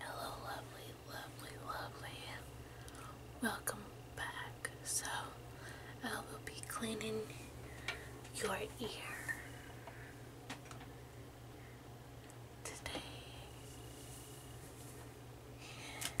Hello, lovely, lovely, lovely. Welcome back. So, I will be cleaning your ear today. And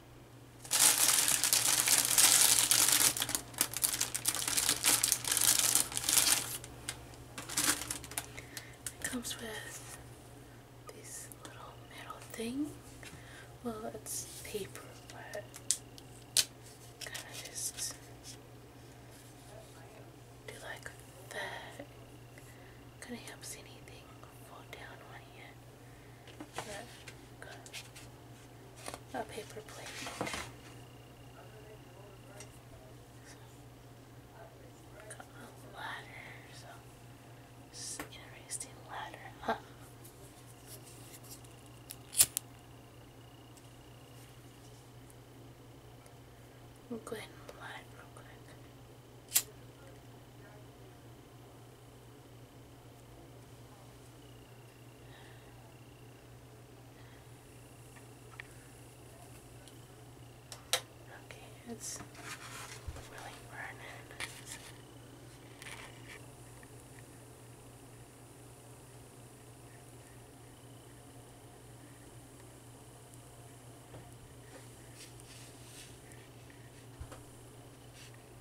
It comes with this little metal thing. Well, it's paper, but kind of just do like that. Kind of helps anything fall down on you a paper plate. a ladder, so interesting ladder, We'll go ahead and apply real quick. Okay, it's really burning.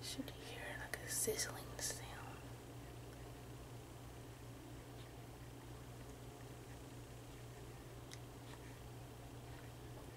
Should hear like a sizzling sound.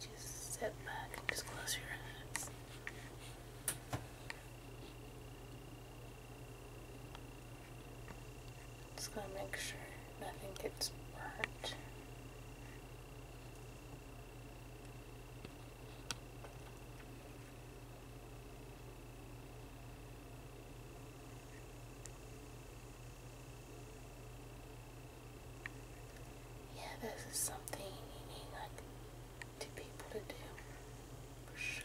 just sit back just close your eyes. Just gonna make sure nothing gets burnt. Yeah, this is something you need like two people to do for sure.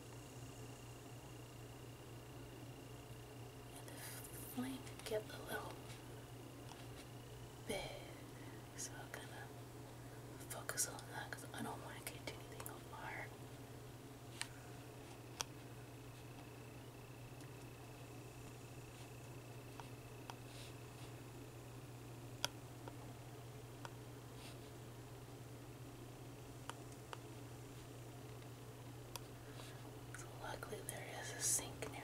And the get a little big, so I'm gonna focus on that because I don't want to get anything on fire. So luckily there is a sink nearby.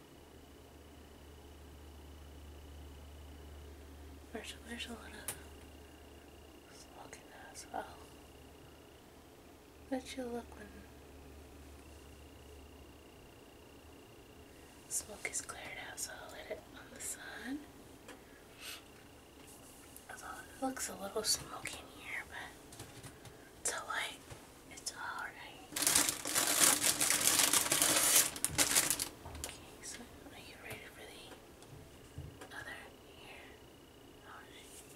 There's, a lot of smoke in there as well. But you look when smoke is cleared out, so I'll let it on the sun. looks a little smoky in here, but it's alright. It's alright. Okay, so are you ready for the other ear? Alright. Okay.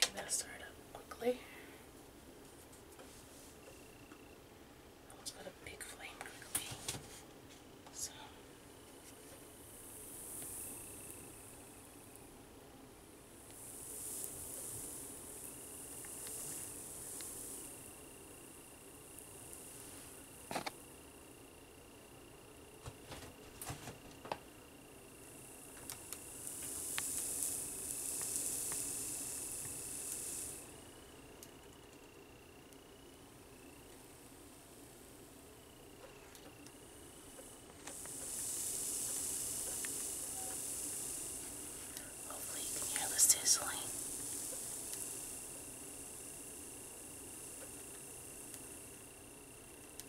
Get that started up quickly. I almost got a big flame quickly. So Hopefully, you can hear the sizzling.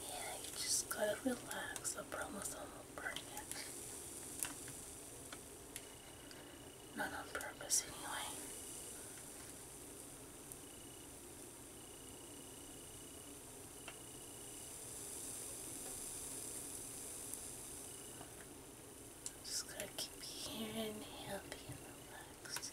Yeah, you just gotta relax. I promise I won't burn it. Not on purpose, anyway. Just gonna keep you here and healthy and relaxed.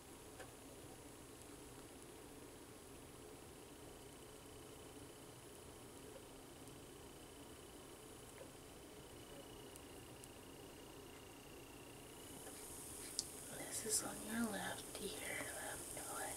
This is on your left ear, left foot.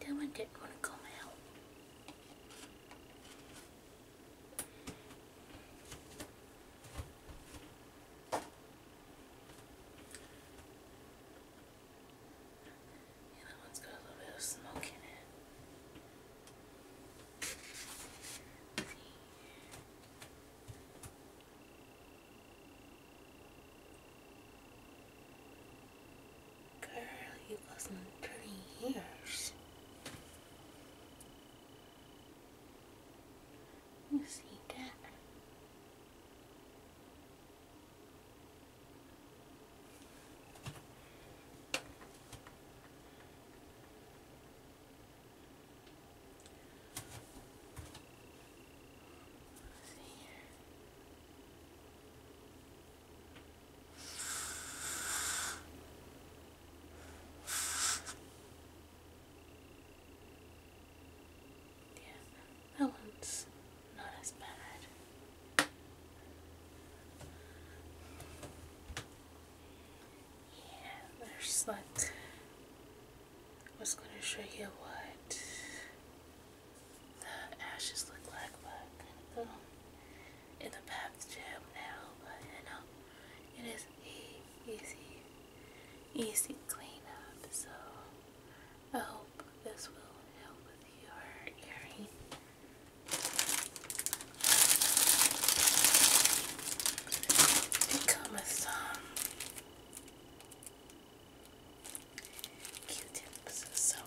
That one didn't want to come out. that one's got a little bit of smoke in it. Girl, you got some pretty ears. You see that? that one's not as bad. Yeah, there's like I was gonna show you what the ashes look like, but I'm gonna in the bath jam now, but you know, it is easy, easy, easy up, so I hope this will help with your earring it comes with some Q-tips, so oh.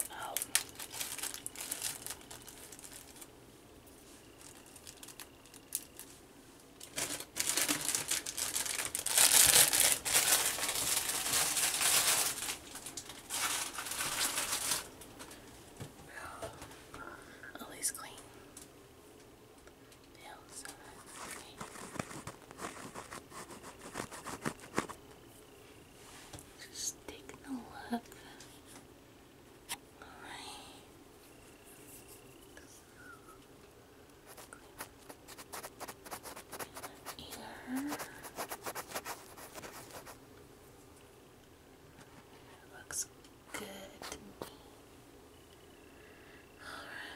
Always clean. Just taking a look. Alright. Ear looks good to me.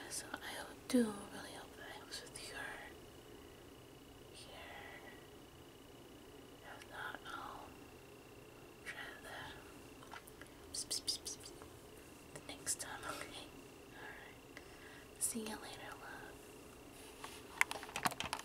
so I do really hope that helps with your here. If not, I'll try that the next time, okay? Alright. See you later, love.